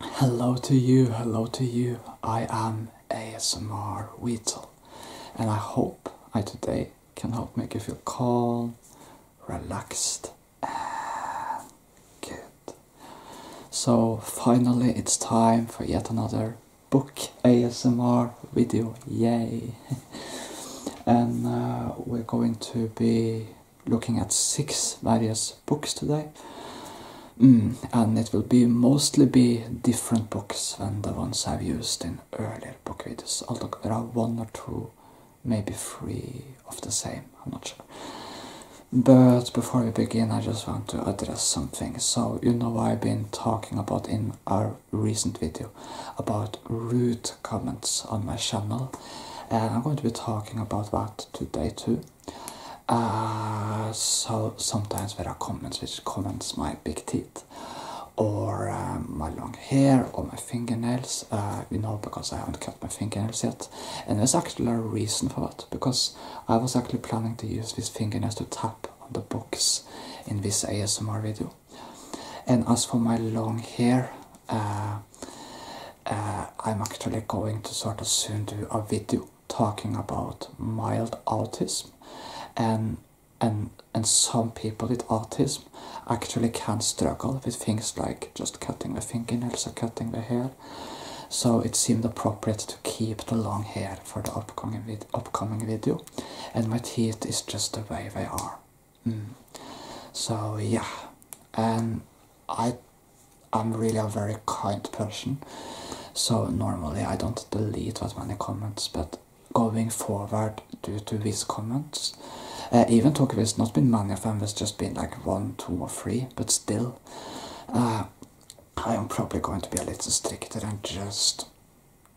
Hello to you, hello to you. I am ASMR Weetle and I hope I today can help make you feel calm, relaxed and good. So finally it's time for yet another book ASMR video, yay! and uh, we're going to be looking at six various books today. Mm, and it will be mostly be different books than the ones I've used in earlier book videos. Although there are one or two, maybe three of the same, I'm not sure. But before we begin, I just want to address something. So, you know I've been talking about in our recent video about rude comments on my channel. And I'm going to be talking about that today too. Uh, so sometimes there are comments which comments my big teeth or um, my long hair or my fingernails, uh, you know, because I haven't cut my fingernails yet. And there's actually a reason for that, because I was actually planning to use these fingernails to tap on the box in this ASMR video. And as for my long hair, uh, uh, I'm actually going to sort of soon do a video talking about mild autism and and and some people with autism actually can struggle with things like just cutting the fingernails or cutting the hair so it seemed appropriate to keep the long hair for the upcoming, video and my teeth is just the way they are hmm. so yeah and i I'm really a very kind person, so normally I don't delete that many comments, but going forward due to these comments, uh, even though there's not been many of them, has just been like one, two or three, but still, uh, I am probably going to be a little stricter and just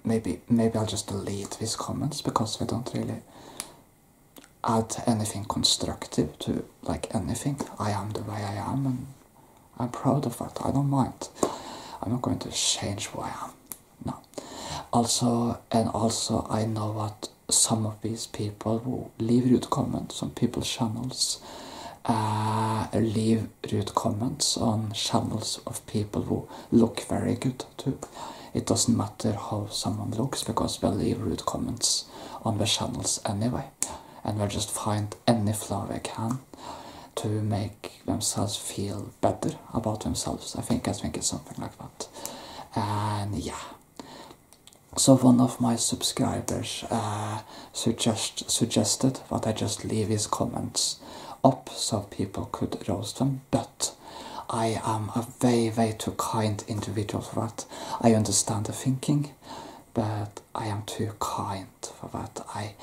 maybe maybe I'll just delete these comments because they don't really add anything constructive to like anything. I am the way I am, and I'm proud of that. I don't mind. I'm not going to change who I am. No. Also, and also, I know that some of these people who leave rude comments on people's channels, uh, leave rude comments on channels of people who look very good too. It doesn't matter how someone looks because they leave rude comments on the channels anyway, and will just find any flaw they can to make themselves feel better about themselves. I think I think it's something like that, and yeah. So one of my subscribers uh, suggest suggested that I just leave his comments up so people could roast them, but I am are very, very too kind individuals for that. I understand the thinking, but I am too kind for that. I,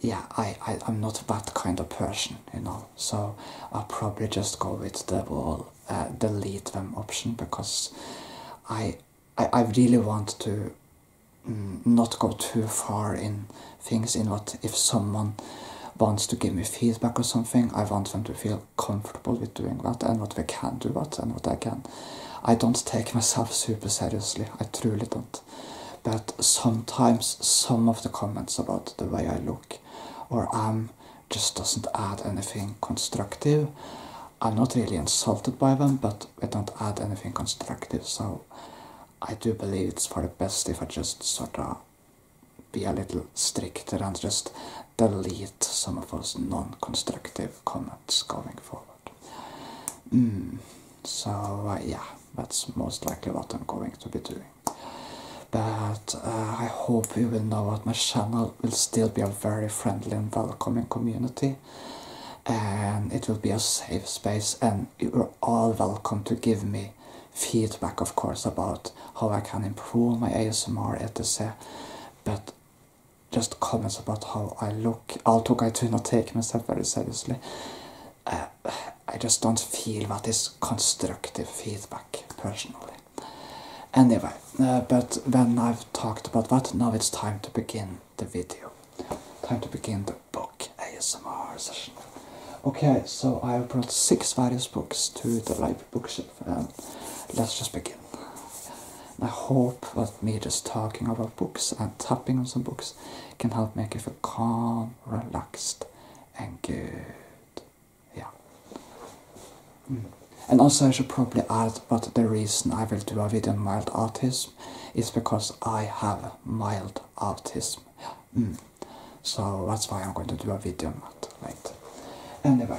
yeah, I, I, I'm not that kind of person, you know. So I'll probably just go with the wall, uh, delete them option because I, I, I really want to mm, not go too far in things in what if someone wants to give me feedback or something, I want them to feel comfortable with doing that and what we can do that and what I can. I don't take myself super seriously, I truly don't. But sometimes some of the comments about the way I look or am just doesn't add anything constructive. I'm not really insulted by them, but they don't add anything constructive, so I do believe it's for the best if I just sort of be a little stricter and just delete some of those non-constructive comments going forward. Mm, so uh, yeah, that's most likely what I'm going to be doing. But uh, I hope you will know that my channel will still be a very friendly and welcoming community. And it will be a safe space and you're all welcome to give me feedback of course about how I can improve my ASMR etc but just comments about how I look, although I do not take myself very seriously. Uh, I just don't feel that is constructive feedback personally. Anyway, uh, but when I've talked about that, now it's time to begin the video. Time to begin the book ASMR session. Okay, so I have brought six various books to the library private bookshelf um, let's just begin. I hope that me just talking about books and tapping on some books can help make you feel calm, relaxed, and good. Yeah. Hmm. And also, I should probably add, but the reason I will do a video on mild autism is because I have mild autism. Hmm. So that's why I'm going to do a video on that. Right. Anyway.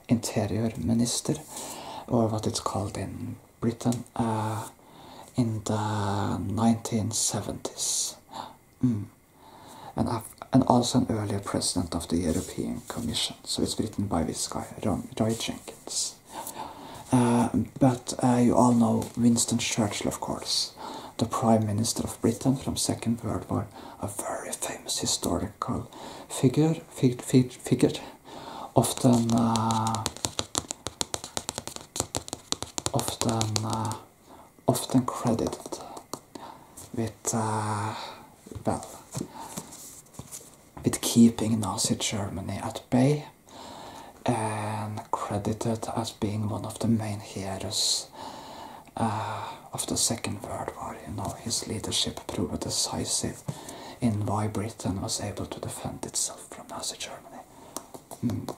interior minister, or what it's called in Britain, uh, in the 1970s. Mm. And, also an earlier president of the European Commission. So it's written by this guy, Roy Jenkins. Uh, but uh, you all know Winston Churchill, of course, the Prime Minister of Britain from Second World War, a very famous historical figure, figure often eh, often eh, often credited with eh, well with keeping Nazi Germany at bay and credited as being one of the main heroes of ah, the Second World War. You know, his leadership proved decisive in why Britain was able to defend itself from Nazi Germany. Mm.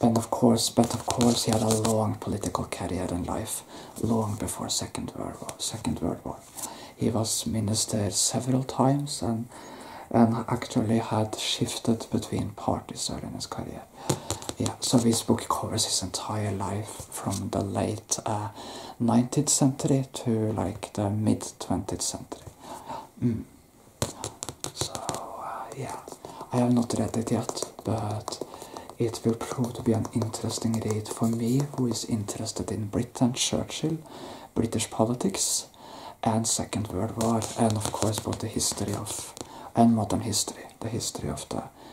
And of course, but of course, he had a long political career in life, long before Second World War. Second World War, he was ministered several times and and actually had shifted between parties early in his career. Yeah, so this book covers his entire life from the late 19th uh, century to like the mid 20th century. Mm. So, uh, yeah, I have not read it yet, but it will prove to be an interesting read for me who is interested in Britain, Churchill, British politics, and Second World War, and of course, about the history of and modern history, the history of the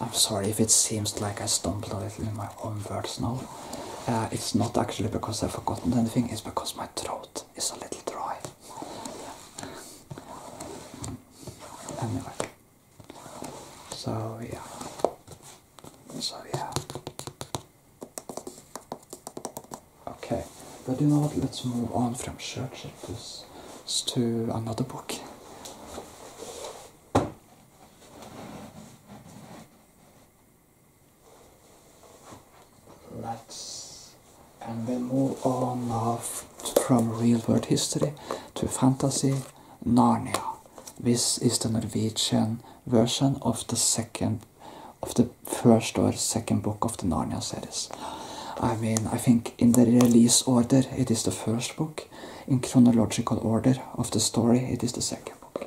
I'm sorry if it seems like I stumbled a little in my own words now. Uh, it's not actually because I've forgotten anything, it's because my throat is a little dry. Anyway. So yeah. So yeah. Okay, but you know what, let's move on from Churchill to another book. Relax. And we move on from real world history to fantasy Narnia. This is the Norwegian version of the second of the first or second book of the Narnia series. I mean, I think in the release order it is the first book, in chronological order of the story. It is the second book.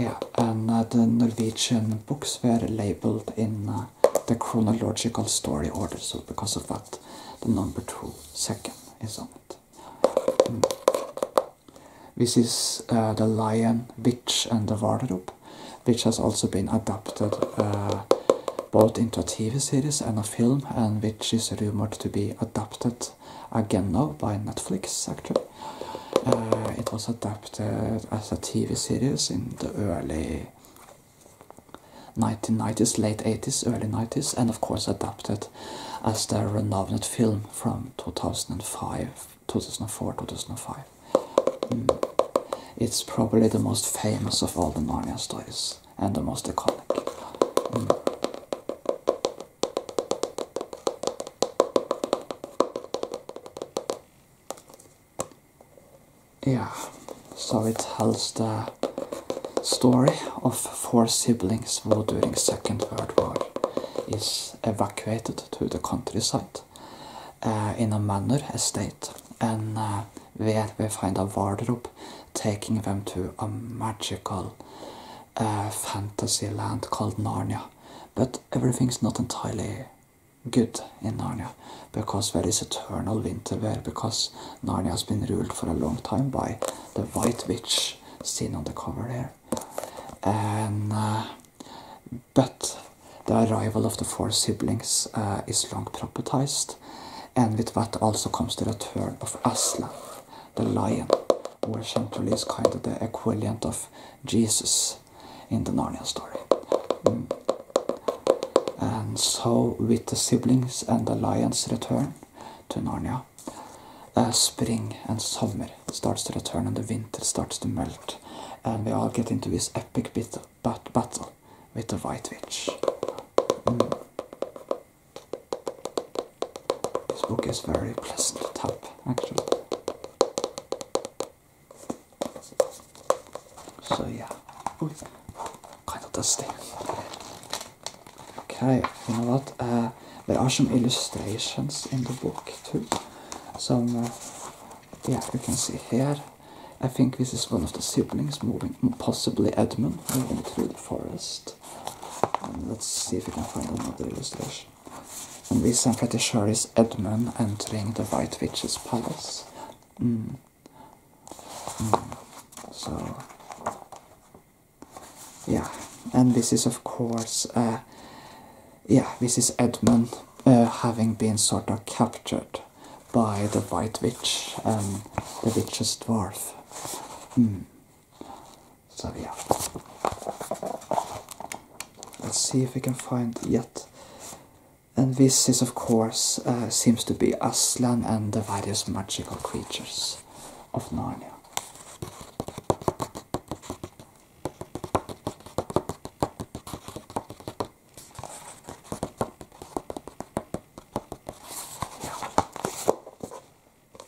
yeah, and uh, the Norwegian books were labeled in uh, the chronological story order, so because of that, the number two second is on it. Hmm. This is uh, The Lion, Witch, and the Wardrobe, which has also been adapted both into a TV series and a film, and which is rumored to be adapted again now by Netflix, actually. Uh, it was adapted as a TV series in the early 1990s, late 80s, early 90s, and of course adapted as the renowned film from 2005, 2004, 2005. Mm. It's probably the most famous of all the Narnia stories and the most iconic. Hmm. Yeah, so it tells the story of four siblings who during Second World War is evacuated to the countryside uh, in a manor estate and uh, where we find a wardrobe taking them to a magical uh, fantasy land called Narnia. But everything's not entirely good in Narnia because there is eternal winter there because Narnia has been ruled for a long time by the White Witch seen on the cover there. And, uh, but the arrival of the four siblings uh, is long prophesized and with that also comes the return of Aslan, the lion, where centrally is kind of the equivalent of Jesus in the Narnia story. Mm. And so, with the siblings and the lion's return to Narnia, uh, spring and summer starts to return and the winter starts to melt, and we all get into this epic bit bat battle with the White Witch. Mm. This book is very pleasant to type, actually. So yeah, kind of dusty. Okay, you know what? Uh, there are some illustrations in the book too. Some, uh, yeah, you can see here. I think this is one of the siblings moving, possibly Edmund, Forest. Um, let's see if we can find another illustration. And this I'm pretty sure is Edmund entering the White Witch's Palace. Hmm. Hmm. So, yeah, and this is of course, uh, yeah, this is Edmund uh, having been sort of captured by the White Witch and um, the Witch's Dwarf. Hmm. So yeah. Let's see if we can find yet. And this is of course, uh, seems to be Aslan and the various magical creatures of Narnia.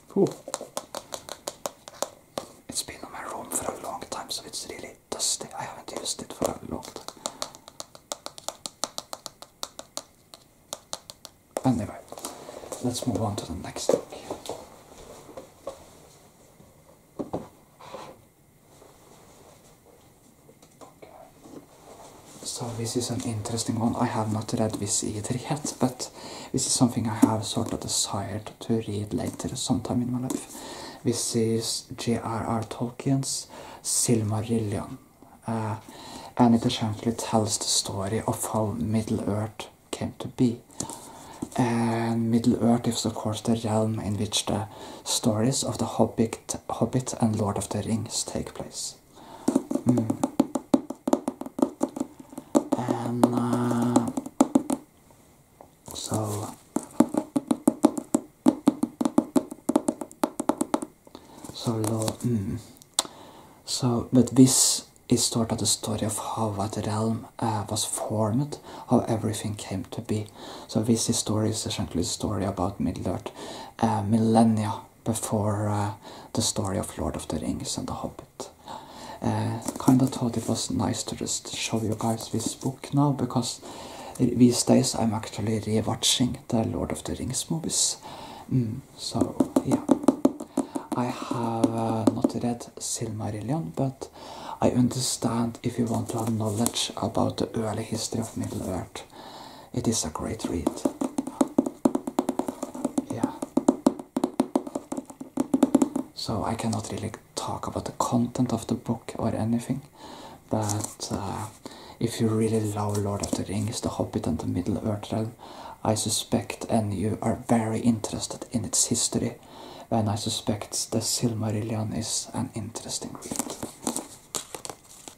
Cool. It's been in my room for a long time, so it's really dusty. I haven't used it for a long time. Anyway, let's move on to the next thing. So this is an interesting one. I have not read this either yet, but this is something I have sort of desired to read later sometime in my life. This is J.R.R. Tolkien's Silmarillion, uh, and it essentially tells the story of how Middle-earth came to be. And Middle-earth is of course the realm in which the stories of the Hobbit, Hobbit and Lord of the Rings take place. And uh, so so low. Mm. So, but this is sort of the story of how that realm uh, was formed, how everything came to be. So this story is essentially a story about Middle Earth uh, millennia before uh, the story of Lord of the Rings and The Hobbit. Uh, kind of thought it was nice to just show you guys this book now because these days I'm actually rewatching the Lord of the Rings movies. Mm, so yeah, I have uh, not read Silmarillion, but I understand if you want to have knowledge about the early history of Middle Earth it is a great read. Yeah. So I cannot really talk about the content of the book or anything, but uh, if you really love Lord of the Rings, The Hobbit, and the Middle Earth I suspect, and you are very interested in its history, then I suspect The Silmarillion is an interesting read.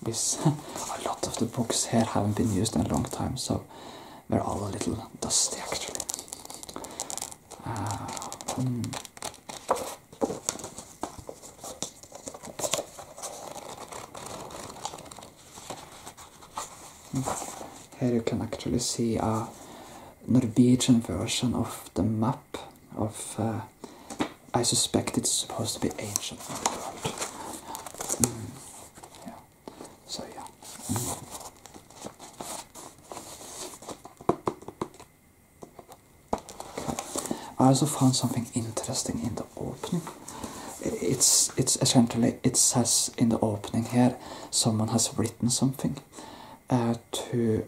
Because a lot of the books here haven't been used in a long time, so they're all a little dusty actually. Uh, hmm. here you can actually see a Norwegian version of the map of, uh, I suspect it's supposed to be ancient so yeah. I also found something interesting in the opening. It's it's essentially it says in the opening here someone has written something uh, to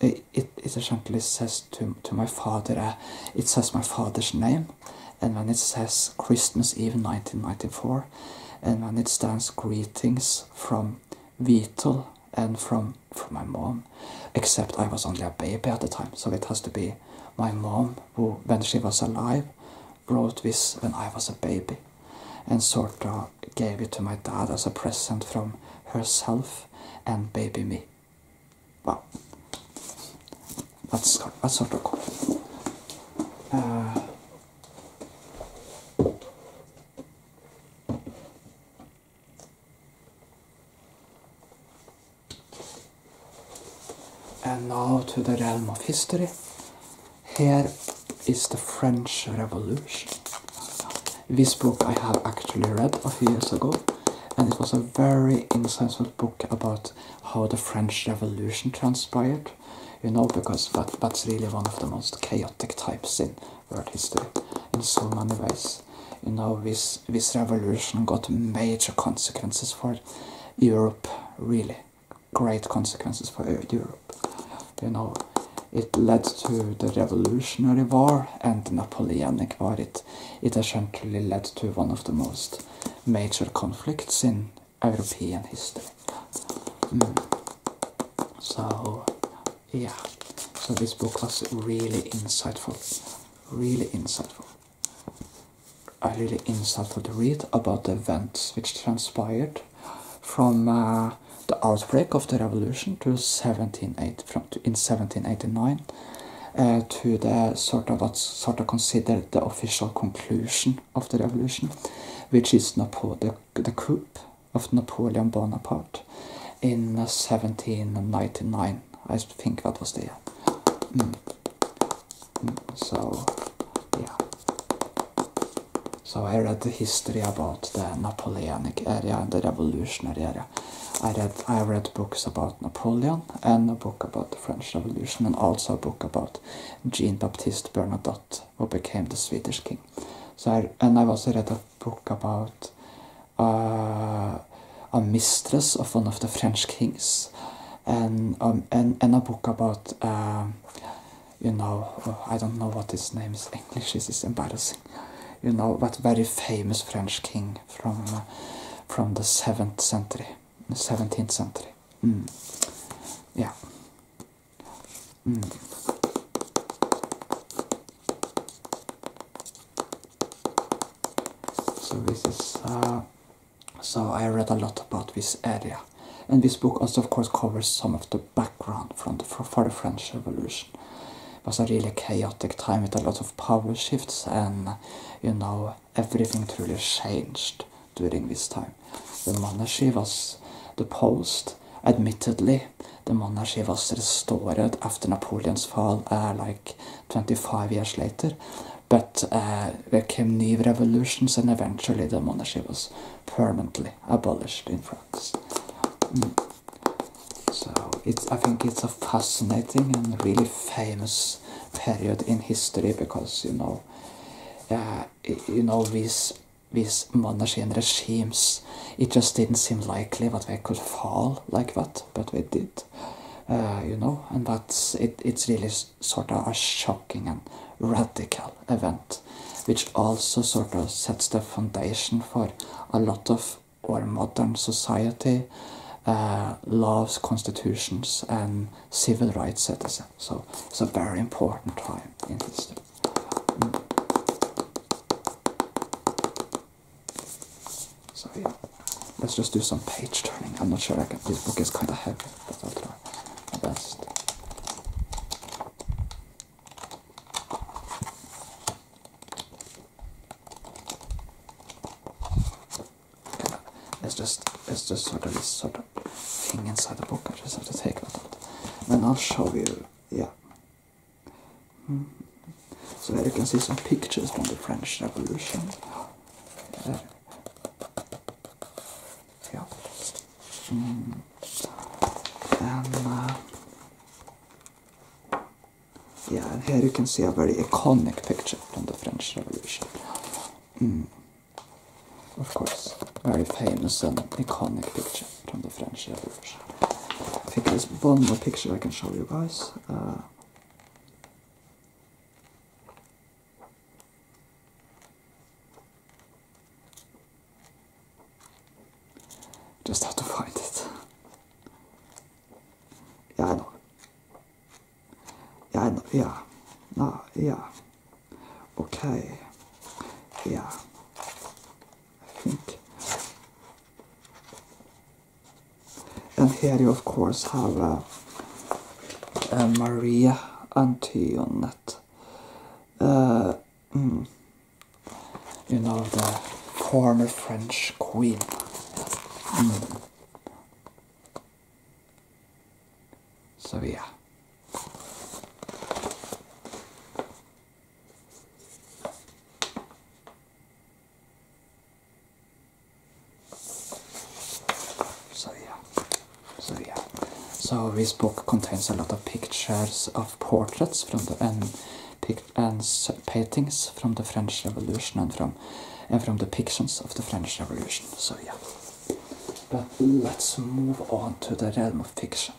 it, essentially says to to my father uh, it says my father's name and when it says Christmas Eve 1994, and when it stands greetings from Vital and from, from my mom, except I was only a baby at the time, so it has to be my mom who, when she was alive, wrote this when I was a baby and sort of gave it to my dad as a present from herself and baby me. Wow, let's not cool. Uh, and now to the realm of history. Here is the French Revolution. This book I have actually read a few years ago, and it was a very insightful book about how the French Revolution transpired, you know, because that's really one of the most chaotic types in world history in so many ways. You know, this, this revolution got major consequences for Europe, really great consequences for Europe. You know, it led to the Revolutionary War and the Napoleonic War. It, it essentially led to one of the most major conflicts in European history. So, yeah, so this book was really insightful, really insightful. A really insightful to read about the events which transpired from uh, the outbreak of the revolution to 1780, from, in 1789 to eh, the er sort of what's sort of considered the official conclusion of the revolution, which is Napo the, the coup of Napoleon Bonaparte in 1799. I think that was there. Mm. Mm, so, yeah. So I read the history about the Napoleonic area and the revolutionary area. I read I read books about Napoleon and a book about the French Revolution and also a book about Jean Baptiste Bernadotte who became the Swedish king. So I, and I also read a book about uh, a mistress of one of the French kings and um, and, and a book about uh, you know I don't know what his name is English this is embarrassing you know that very famous French king from uh, from the seventh century, seventeenth century. Hmm. Yeah. Hmm. So this is. Uh, so I read a lot about this area, and this book also, of course, covers some of the background from for the French Revolution. It was a really chaotic time with a lot of power shifts and you know, everything truly changed during this time. The monarchy was deposed. Admittedly, the monarchy was restored after Napoleon's fall, uh, like 25 years later. But uh, there came new revolutions, and eventually the monarchy was permanently abolished in France. Mm. So it's, I think it's a fascinating and really famous period in history because you know you know this these monarchy and regimes it just didn't seem likely that they could fall like that but they did uh, you know and that's it it's really sort of a shocking and radical event which also sort of sets the foundation for a lot of or modern society uh, loves constitutions and civil rights citizens. So it's a very important time in history. So yeah, let's just do some page turning. I'm not sure I This book is kind of heavy, but I'll try my best. It's just, it's just sort of this sort of thing inside the book. I just have to take it out. Then I'll show you. Yeah. Hmm. So there you can see some pictures from the French Revolution. Yeah. Hmm. And. Uh, yeah, here you can see a very iconic picture from the French Revolution. Mm. Of course, very famous and iconic picture from the French Revolution. I think there's one more picture I can show you guys. Uh, just have to find it. Ja, jeg Yeah. Ja, jeg Ja. Nei, ja. OK. Ja. Fint. And here you of course have uh, uh, Maria Antoinette. Uh, hmm. you know, the former French queen. So yeah. So yeah. So yeah. So this book contains a lot of pictures of portraits from the end and paintings from the French Revolution and from and from depictions of the French Revolution. So yeah. But let's move on to the realm of fiction.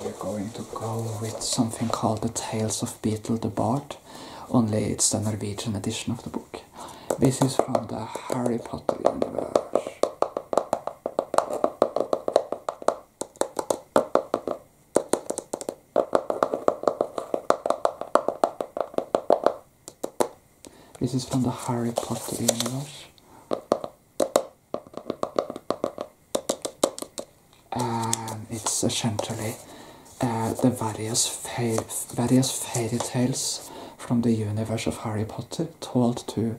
We're going to go with something called The Tales of Beetle the Bard, only it's the Norwegian edition of the book. This is from the Harry Potter universe. This is from the Harry Potter universe. and it's essentially uh, the various various fairy tales from the universe of Harry Potter told to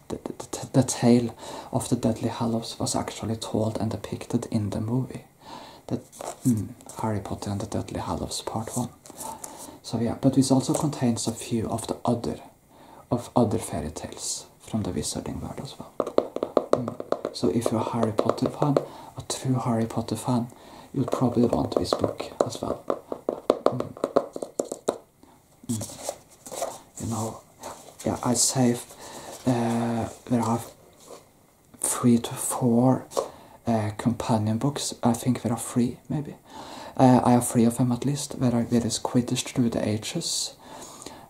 the, the, tale of the Deadly Hallows was actually told and depicted in the movie. That hmm, Harry Potter and the Deadly Hallows Part One. So yeah, but this also contains a few of the other of other fairy tales from the Wizarding world as well. Hmm. So if you're a Harry Potter fan, a true Harry Potter fan, you'll probably want this book as well. Hmm. You know, yeah, I saved there uh, are three to four uh, companion books. I think there are three, maybe. Uh, I have three of them at least. There, are, there is Quidditch Through the Ages,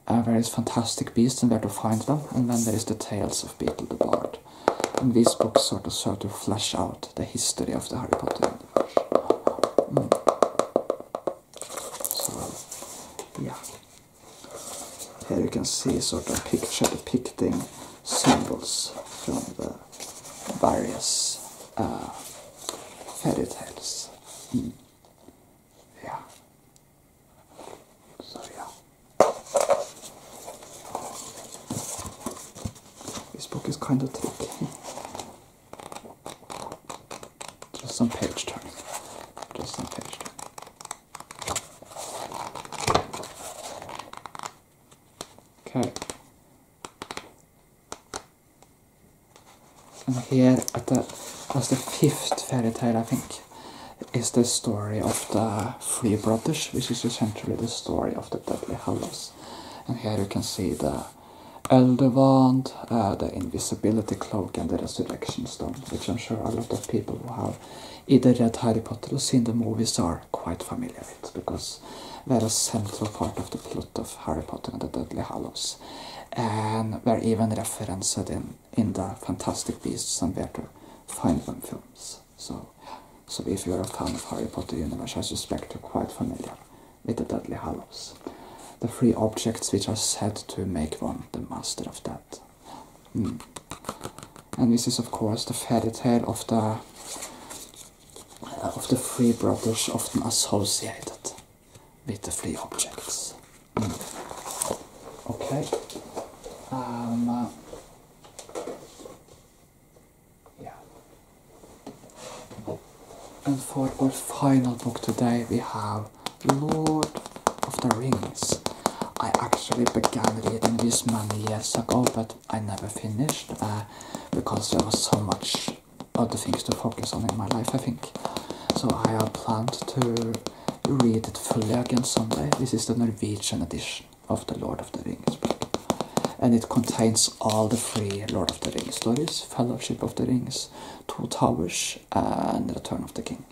there is Fantastic Beasts and Where to Find Them, and then there is The Tales of Beetle the Bard. And these books sort of sort of flesh out the history of the Harry Potter universe. Mm. So, yeah. Here you can see sort of picture depicting symbols from the various uh, fairy tales. Yeah. So yeah. This book is kind of tricky. Just some page turning. Just some page turning. Okay. And here at the that's the fifth fairy tale I think is the story of the three brothers, which is essentially the story of the Deadly Hallows. And here you can see the Elderwand, uh, the Invisibility Cloak and the Resurrection Stone, which I'm sure a lot of people who have either read Harry Potter or seen the movies are quite familiar with, because they're a central part of the plot of Harry Potter and the Deadly Hallows. And they're even referenced in, the Fantastic Beasts and Where to Find Them films. So, so if you're a fan of Harry Potter universe, I suspect you're quite familiar with the Deadly halos, The three objects which are said to make one the master of that. Hmm. And this is of course the fairy tale of the uh, of the three brothers often associated with the three objects. Hmm. Okay. Um, uh, yeah. And for our final book today, we have Lord of the Rings. I actually began reading this many years ago, but I never finished uh, because there was so much other things to focus on in my life, I think. So I have planned to read it fully again someday. This is the Norwegian edition of the Lord of the Rings And it contains all the three Lord of the Rings stories, Fellowship of the Rings, towers, two towers, and the return of the king.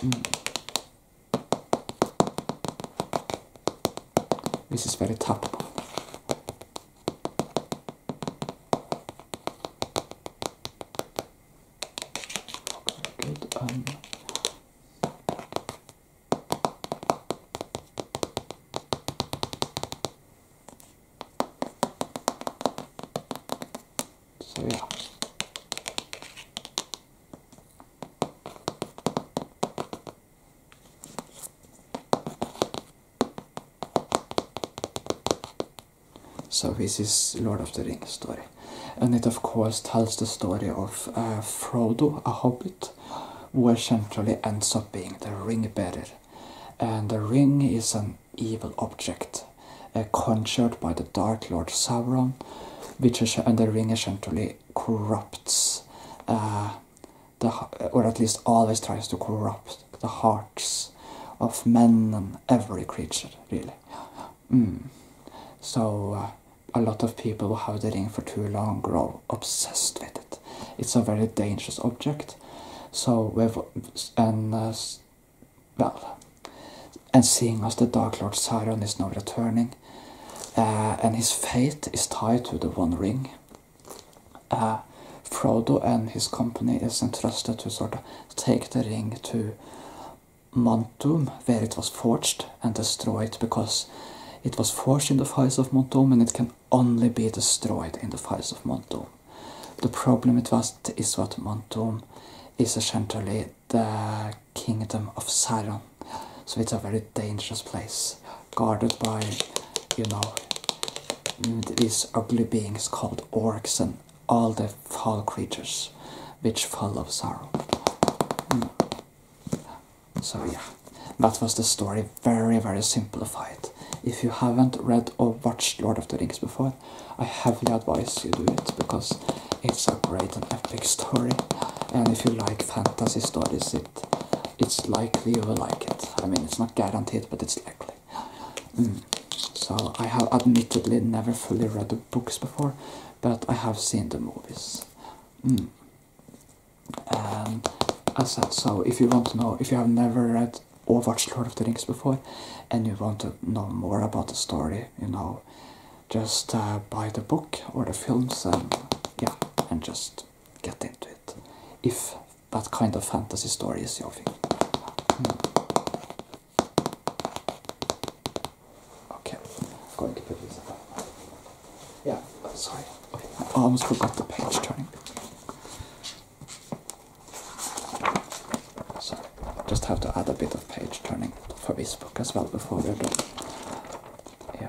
Hmm. This is very tough. Um, so yeah. So this is Lord of the Ring story. And it of course tells the story of uh, Frodo, a hobbit, who essentially ends up being the ring bearer. And the ring is an evil object eh, conjured by the Dark Lord Sauron, which and the ring essentially corrupts eh, the or at least always tries to corrupt the hearts of men and every creature really. Hmm. So eh, a lot of people who have the ring for too long grow obsessed with it. It's a very dangerous object. So we've and uh, well, and seeing as the Dark Lord Sauron is now returning, uh, and his fate is tied to the One Ring. Uh, Frodo and his company is entrusted to sort of take the ring to Montum, where it was forged and destroyed because it was forged in the fires of Montum and it can only be destroyed in the fires of Montum. The problem with that is what Montum is essentially the kingdom of Saron, so it's a very dangerous place, guarded by, you know, these ugly beings called orcs and all the foul creatures which follow of sorrow. Hmm. So yeah, that was the story very, very simplified. If you haven't read or watched Lord of the Rings before, I heavily advise you do it because it's a great epic story. And if you like fantasy stories, it it's likely you will like it. I mean, it's not guaranteed, but it's likely. Mm. So I have admittedly never fully read the books before, but I have seen the movies. Mm. And as I said, so if you want to know, if you have never read or watched Lord of the Rings before and you want to know more about the story, you know, just uh, buy the book or the films and yeah, and just get into it. If that kind of fantasy story is your thing. Hmm. Okay, I'm going to put this up. Yeah, sorry. I almost forgot the page turning. So just have to add a bit of page turning for this book as well before we're done. Yeah.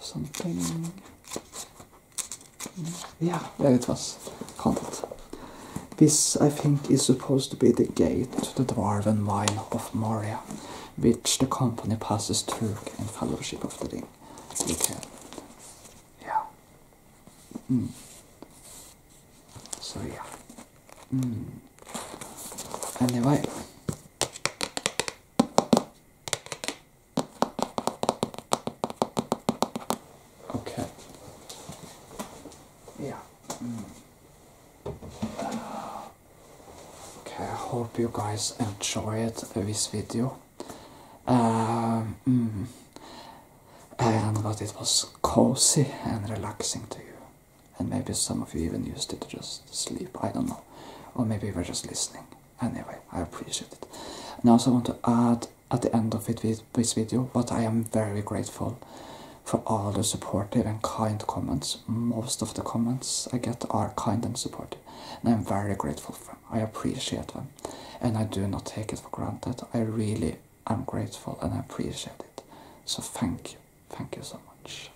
something. Yeah, there it was. Found This, I think, is supposed to be the gate to the Dwarven Mine of Moria, which the company passes through in Fellowship of the Ring. Yeah. Mm. So, yeah. Mm. Anyway. Okay. Yeah. Okay, I hope you guys enjoyed this video. Uh, mm, and that it was cozy and relaxing to you and maybe some of you even used it to just sleep, I don't know. Or maybe you were just listening. Anyway, I appreciate it. And I also want to add at the end of it, this video, but I am very grateful for all the supportive and kind comments. Most of the comments I get are kind and supportive, and I'm very grateful for I appreciate them, and I do not take it for granted. I really am grateful and I appreciate it. So thank you. Thank you so much.